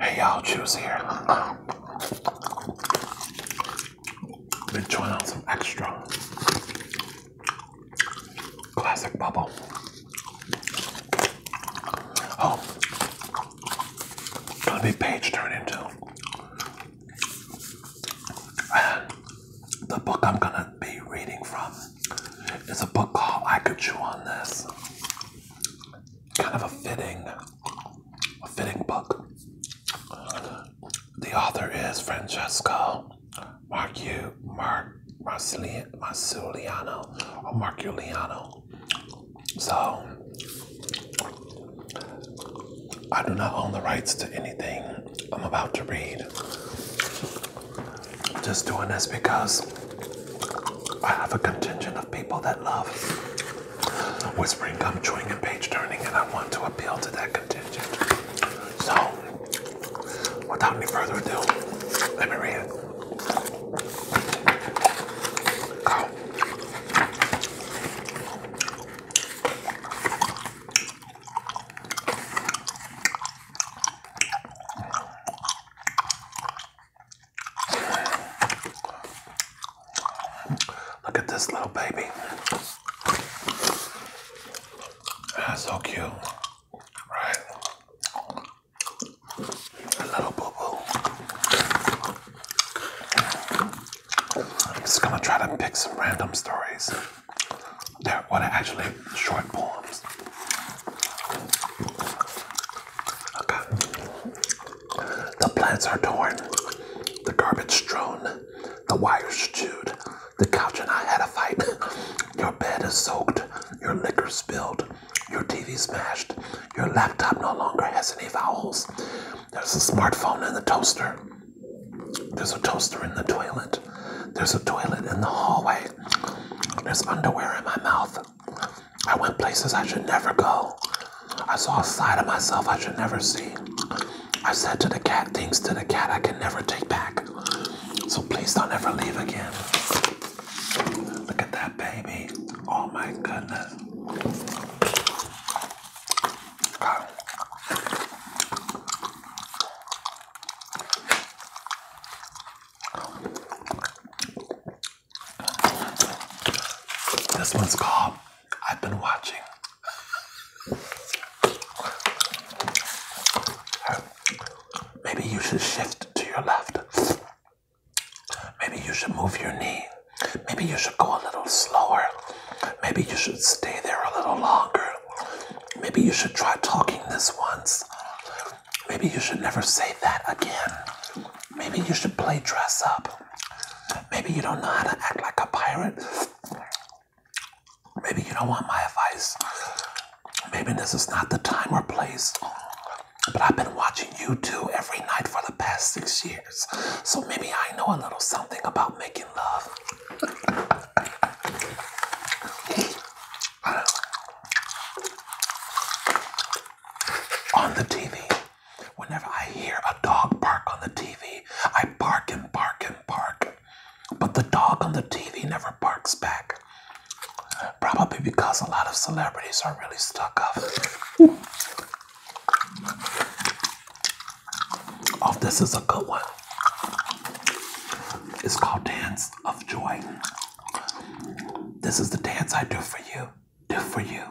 Hey y'all, Juice here. Been chewing on some extra classic bubble. Oh, gonna be page turning too. the book I'm gonna be reading from is a book called I Could Chew on This kind of a fitting, a fitting book. The author is Francesco Marcu, Mar, Marsuliano, or Marculiano. So, I do not own the rights to anything I'm about to read just doing this because I have a contingent of people that love whispering, gum chewing, and page turning, and I want to appeal to that contingent. So, without any further ado, let me read it. Look at this little baby. That's ah, so cute, right? A little boo boo. I'm just gonna try to pick some random stories. They're what are actually short poems. Okay. The plants are torn, the garbage strewn, the wires chewed, the couch and I had a fight. Your bed is soaked, your liquor spilled, your TV smashed, your laptop no longer has any vowels. There's a smartphone in the toaster. There's a toaster in the toilet. There's a toilet in the hallway. There's underwear in my mouth. I went places I should never go. I saw a side of myself I should never see. I said to the cat things to the cat I can never take back. So please don't ever leave again. Look at that baby. Oh my goodness. This one's called I've Been Watching. Maybe you should shift to your left. Maybe you should move your knee. Maybe you should go a little slower. Maybe you should stay there a little longer. Maybe you should try talking this once. Maybe you should never say that again. Maybe you should play dress up. Maybe you don't know how to act like a pirate. Maybe you don't want my advice. Maybe this is not the time or place. But I've been watching you two every night for the past six years. So maybe I know a little something about making love. on the TV. Whenever I hear a dog bark on the TV, I bark and bark and bark. But the dog on the TV never barks back. Probably because a lot of celebrities are really stuck up. Oh, this is a good one. It's called Dance of Joy. This is the dance I do for you do for you.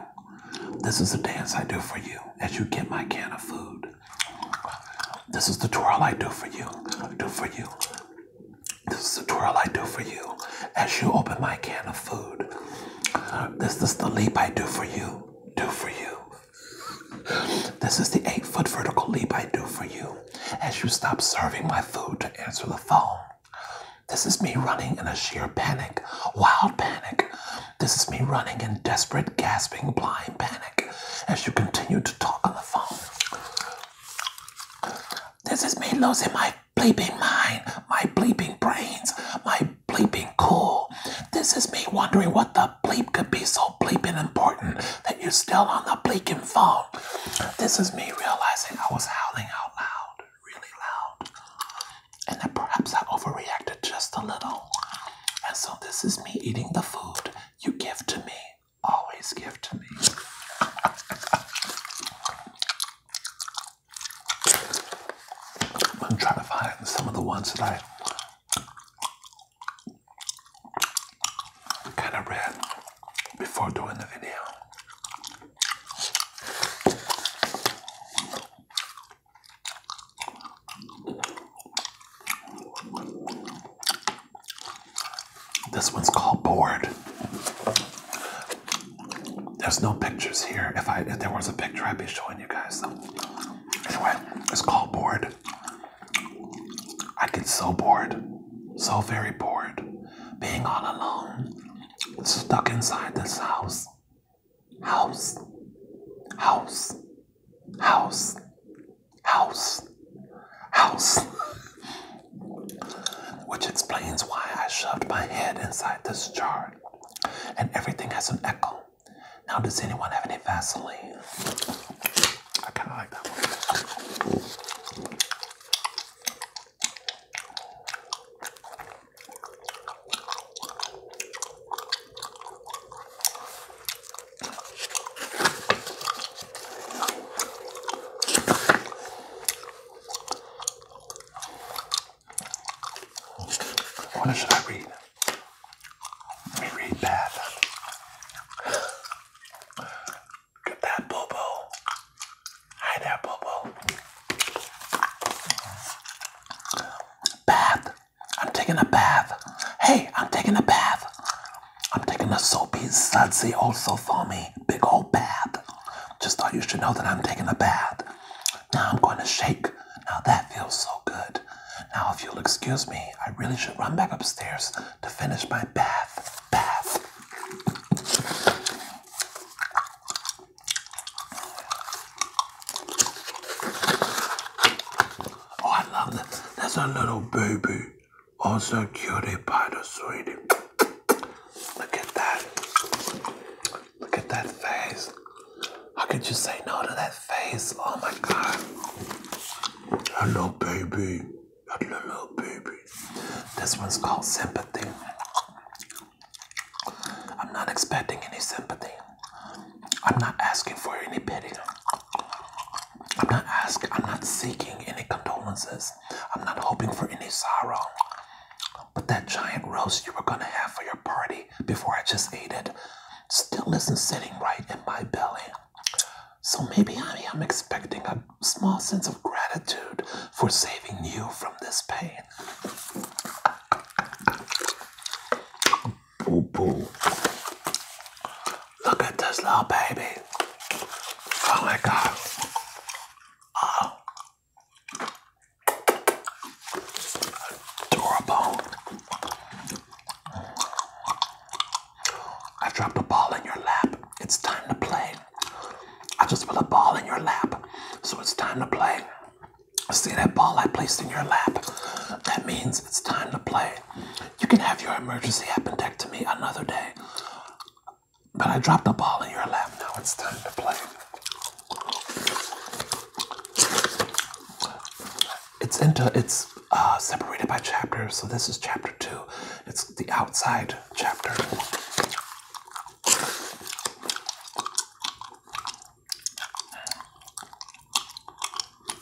This is the dance I do for you as you get my can of food. This is the twirl I do for you, do for you. This is the twirl I do for you as you open my can of food. This is the leap I do for you, do for you. This is the eight foot vertical leap I do for you as you stop serving my food to answer the phone. This is me running in a sheer panic, wild panic. This is me running in desperate, gasping, blind panic as you continue to talk on the phone. This is me losing my bleeping mind, my bleeping brains, my bleeping cool. This is me wondering what the bleep could be so bleeping important that you're still on the bleeping phone. This is me realizing I was howling out loud really loud, and then perhaps I overreacted just a little. And so, this is me eating the food you give to me, always give to me. I'm trying to find some of the ones that I kind of read before doing the video. This one's called Bored. There's no pictures here. If I if there was a picture, I'd be showing you guys. Though, anyway, it's called Bored. I get so bored, so very bored, being all alone stuck inside this house. House. House. House. House. House. Which explains why I shoved my head inside this jar. And everything has an echo. Now, does anyone have any Vaseline? I kind of like that one. What should I read? Let me read Bath. Get that Bobo. Hi there, Bobo. Bath. I'm taking a bath. Hey, I'm taking a bath. I'm taking a soapy, sudsy, also for me. Big old bath. Just thought you should know that I'm taking a bath. Now I'm going to shake. Now that feels so good. Now, if you'll excuse me, I really should run back upstairs to finish my bath. Bath. Oh, I love that. That's a little boo boo. also cutie pie the sweetie. Look at that. Look at that face. How could you say no to that face? Oh my god. Hello, baby. little baby. This one's called sympathy. I'm not expecting any sympathy. I'm not asking for any pity. I'm not asking, I'm not seeking any condolences. I'm not hoping for any sorrow. But that giant roast you were gonna have for your party before I just ate it still isn't sitting right in my belly. So maybe I am expecting a small sense of gratitude for saving you from this pain. Boo boo. Look at this little baby. Oh my god. Oh. Adorable. I dropped a ball in your lap. It's time to play. I just put a ball in your lap. So it's time to play. See that ball I placed in your lap? That means it's time to play. You can have your emergency appendectomy another day. But I dropped a ball in your lap. Now it's time to play. It's into it's uh, separated by chapters. So this is chapter two. It's the outside chapter.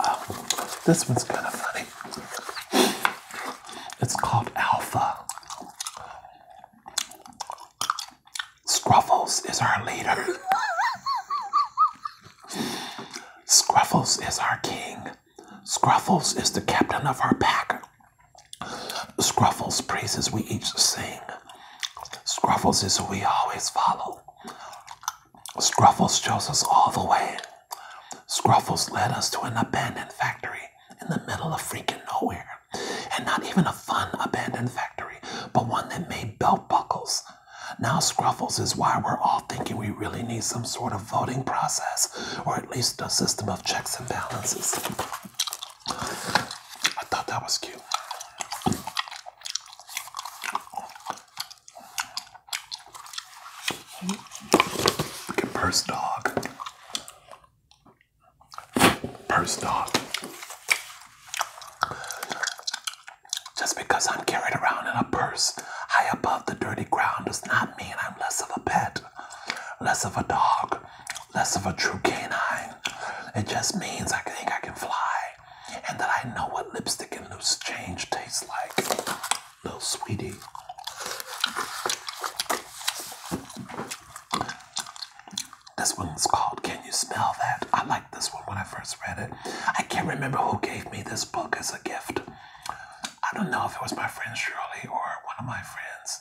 Oh, this one's kind of funny. It's called Alpha. Scruffles is our leader. Scruffles is our king. Scruffles is the captain of our pack. Scruffles praises we each sing. Scruffles is who we always follow. Scruffles shows us all the way. Scruffles led us to an abandoned factory in the middle of freaking nowhere. And not even a fun abandoned factory, but one that made belt buckles. Now Scruffles is why we're all thinking we really need some sort of voting process, or at least a system of checks and balances. I thought that was cute. Look at purse dog. Purse dog. Just because I'm carried around in a purse high above the dirty ground does not mean I'm less of a pet, less of a dog, less of a true canine. It just means I think I can fly and that I know what lipstick and loose change tastes like. Little sweetie. This one's called Can You Smell That? I like this one when I first read it. I can't remember who gave me this book as a gift. I don't know if it was my friend Shirley or one of my friends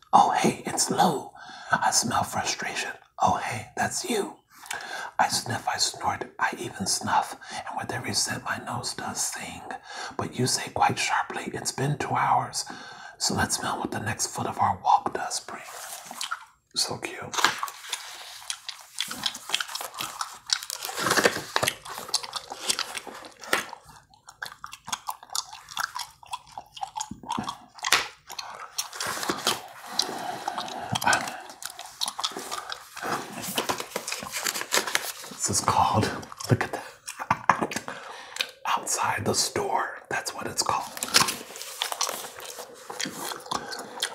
Oh, hey, it's low. I smell frustration. Oh, hey, that's you. I sniff, I snort, I even snuff, and with every scent my nose does sing. But you say quite sharply, it's been two hours, so let's smell what the next foot of our walk does bring. So cute. This is called, look at that, outside the store. That's what it's called.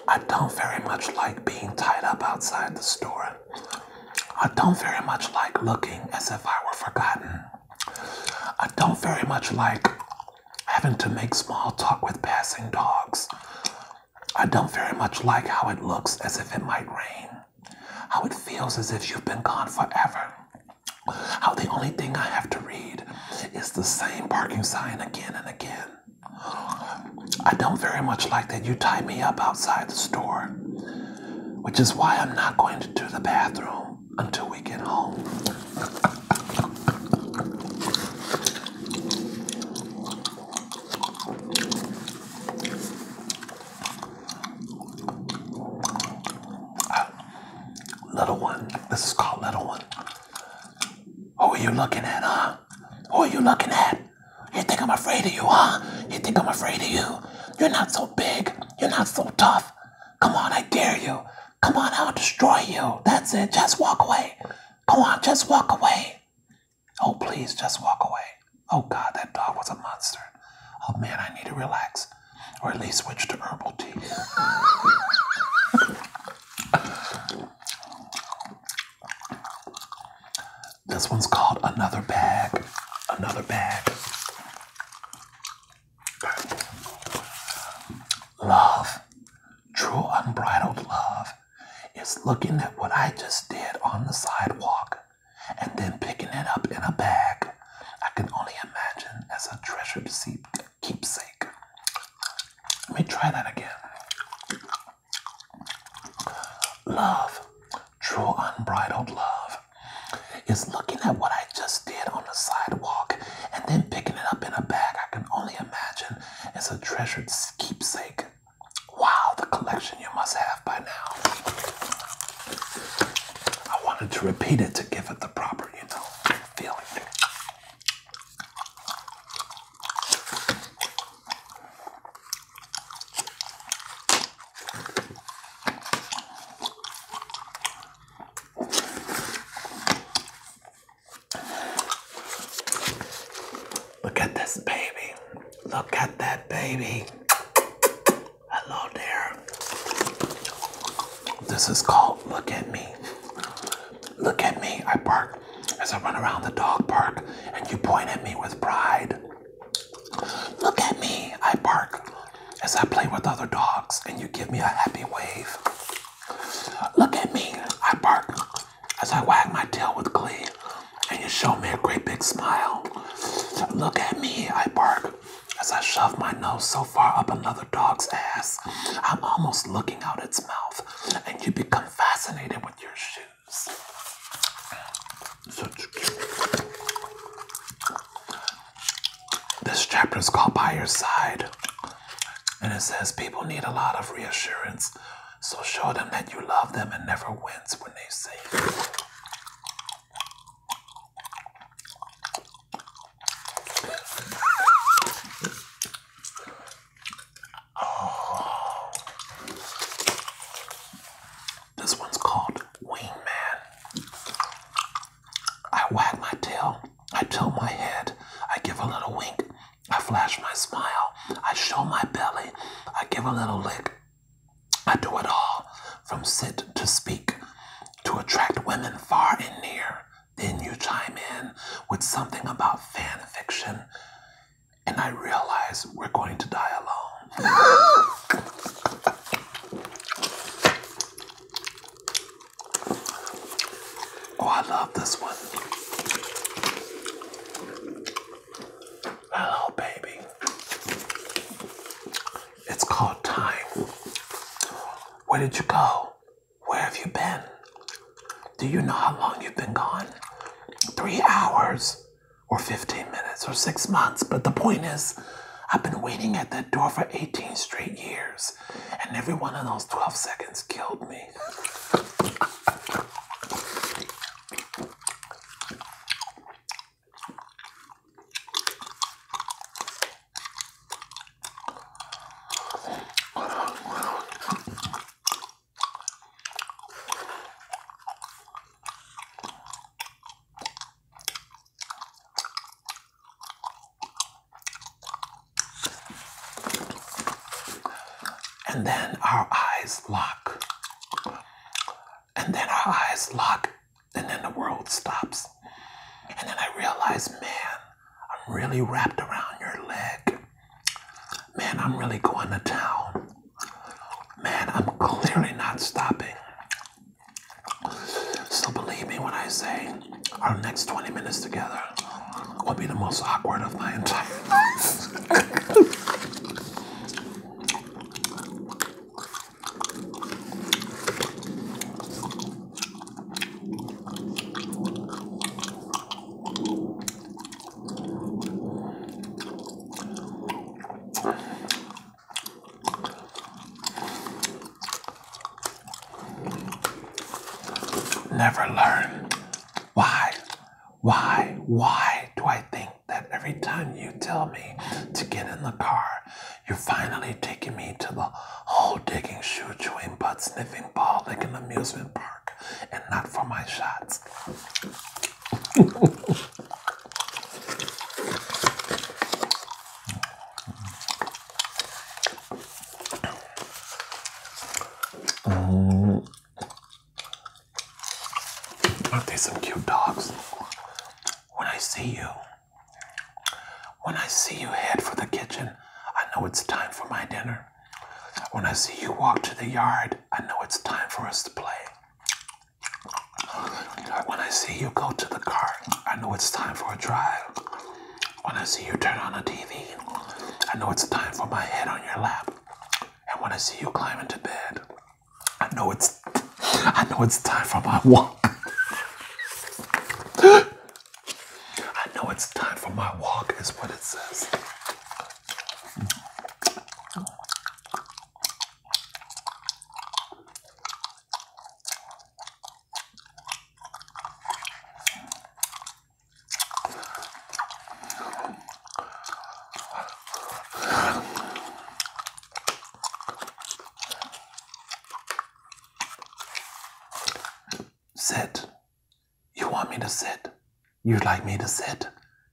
I don't very much like being tied up outside the store. I don't very much like looking as if I were forgotten. I don't very much like having to make small talk with passing dogs. I don't very much like how it looks as if it might rain, how it feels as if you've been gone forever, how the only thing I have to read is the same parking sign again and again. I don't very much like that you tie me up outside the store, which is why I'm not going to do the bathroom until we get home. Uh, little one, this is called Little One. Who are you looking at, huh? Who are you looking at? You think I'm afraid of you, huh? You think I'm afraid of you? You're not so big. You're not so tough. Come on, I dare you. Come on, I'll destroy you. That's it. Just walk away. Come on, just walk away. Oh, please, just walk away. Oh, God, that dog was a monster. Oh, man, I need to relax or at least switch to herbal tea. this one's called Another Bag. Another Bag. Love, true unbridled love, is looking at what I just did on the sidewalk and then picking it up in a bag. I can only imagine as a treasured keepsake. Let me try that again. Love, true unbridled love, is looking at what I just on the sidewalk and then picking it up in a bag, I can only imagine it's a treasured keepsake. Wow, the collection you must have by now. I wanted to repeat it to give it the proper, you know, feeling. Look at this baby. Look at that baby. Hello there. This is called Look at Me. Look at me. I bark as I run around the dog park and you point at me with pride. Look at me. I bark as I play with other dogs and you give me a happy wave. Look at me, I bark as I wag my tail with glee, and you show me a great big smile. Look at me, I bark as I shove my nose so far up another dog's ass, I'm almost looking out its mouth, and you become fascinated with your shoes. Such cute. This chapter is called By Your Side. And it says people need a lot of reassurance. So show them that you love them and never wince when they say Oh. This one's called Wingman. I wag my tail, I tilt my head, I give a little wink, I flash my smile, I show my belly, I give a little lick. I do it all, from sit to speak, to attract women far and near. Then you chime in with something about fan fiction, and I realize we're going to die alone. Oh, I love this one. Hello, baby. It's called Time. Where did you go? Where have you been? Do you know how long you've been gone? Three hours, or 15 minutes, or six months. But the point is, I've been waiting at that door for 18 straight years and every one of those 12 seconds killed me. And then our eyes lock. And then our eyes lock, and then the world stops. And then I realize, man, I'm really wrapped around your leg. Man, I'm really going to town. Man, I'm clearly not stopping. So believe me when I say, our next 20 minutes together will be the most awkward of my entire life. Never learn. Why? Why? Why do I think that every time you tell me to get in the car, you're finally taking me to the hole digging, shoe chewing, butt sniffing, ball like licking amusement park and not for my shots? Oh, Aren't some cute dogs? When I see you, when I see you head for the kitchen, I know it's time for my dinner. When I see you walk to the yard, I know it's time for us to play. When I see you go to the car, I know it's time for a drive. When I see you turn on the TV, I know it's time for my head on your lap. And when I see you climb into bed, I know it's I know it's time for my walk. I know it's time for my walk is what it says. Sit. You want me to sit? You'd like me to sit?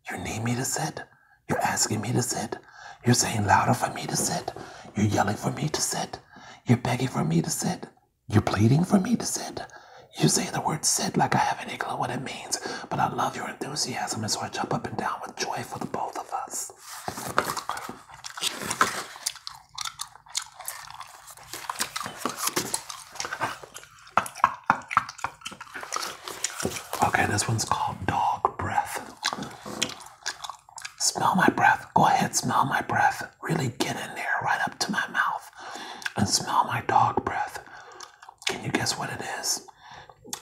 You need me to sit? You're asking me to sit? You're saying louder for me to sit? You're yelling for me to sit? You're begging for me to sit? You're pleading for me to sit? You say the word sit like I have any clue what it means, but I love your enthusiasm, and so I jump up and down with joy for the both of us. Okay, this one's called dog breath. Smell my breath. Go ahead, smell my breath really get in there right up to my mouth and smell my dog breath. Can you guess what it is?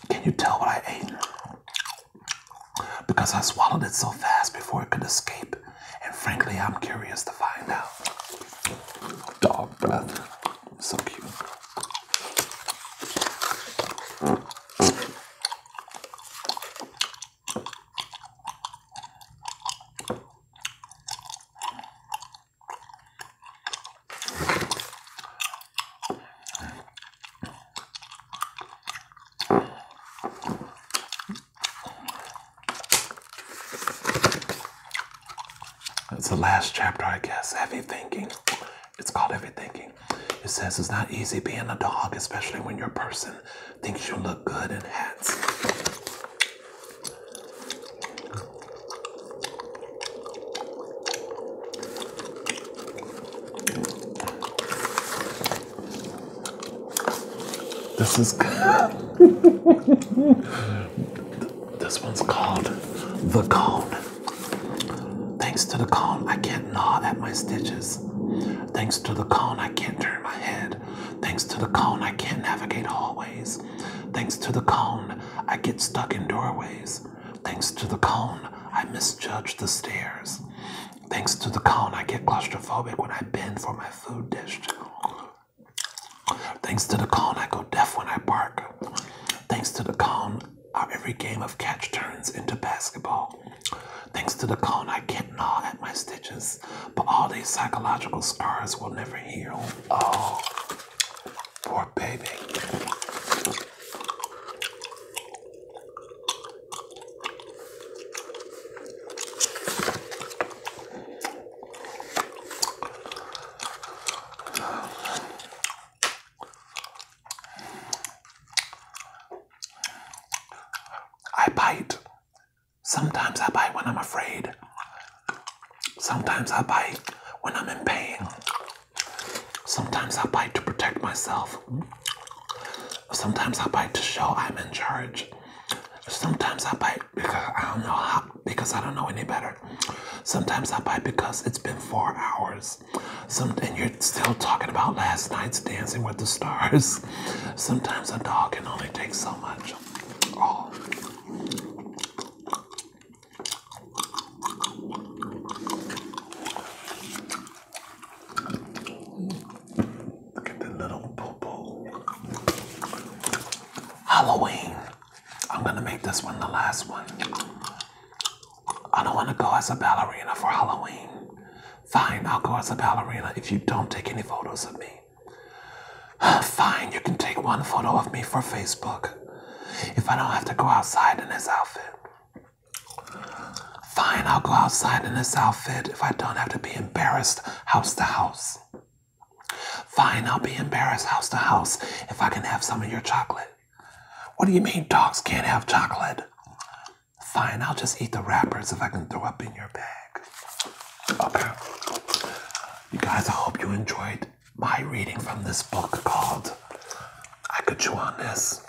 Can you tell what I ate? Because I swallowed it so fast before it could escape. And frankly, I'm curious to find out. Dog breath. So cute. It's the last chapter, I guess. Heavy thinking. It's called heavy thinking. It says it's not easy being a dog, especially when your person thinks you look good in hats. This is this one's called the cone. Thanks to the cone, I can't gnaw at my stitches. Thanks to the cone, I can't turn my head. Thanks to the cone, I can't navigate hallways. Thanks to the cone, I get stuck in doorways. Thanks to the cone, I misjudge the stairs. Thanks to the cone, I get claustrophobic when I bend for my food dish. Thanks to the cone, I go deaf when I bark. Thanks to the cone, our uh, every game of catch turns into basketball. Thanks to the cone, I can't gnaw at my stitches but all these psychological scars will never heal. Oh, poor baby. I bite Sometimes I bite when I'm afraid. Sometimes I bite when I'm in pain. Sometimes I bite to protect myself. Sometimes I bite to show I'm in charge. Sometimes I bite because I don't know how, because I don't know any better. Sometimes I bite because it's been four hours. Some, and you're still talking about last night's Dancing with the Stars. Sometimes a dog can only take so much. Oh. Look at the little poo-poo. Halloween. I'm gonna make this one the last one. I don't wanna go as a ballerina for Halloween. Fine, I'll go as a ballerina if you don't take any photos of me. Fine, you can take one photo of me for Facebook. If I don't have to go outside in this outfit. Fine, I'll go outside in this outfit if I don't have to be embarrassed house to house. Fine, I'll be embarrassed house to house if I can have some of your chocolate. What do you mean dogs can't have chocolate? Fine, I'll just eat the wrappers if I can throw up in your bag. Okay. You guys, I hope you enjoyed my reading from this book called I Could Chew on This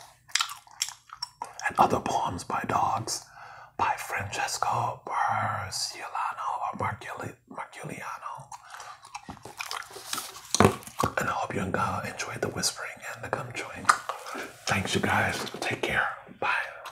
and Other Poems by Dogs by Francesco Berciolano or Marculi Marculiano. And I hope you enjoyed the whispering and the gum chewing. Thanks, you guys. Take care. Bye.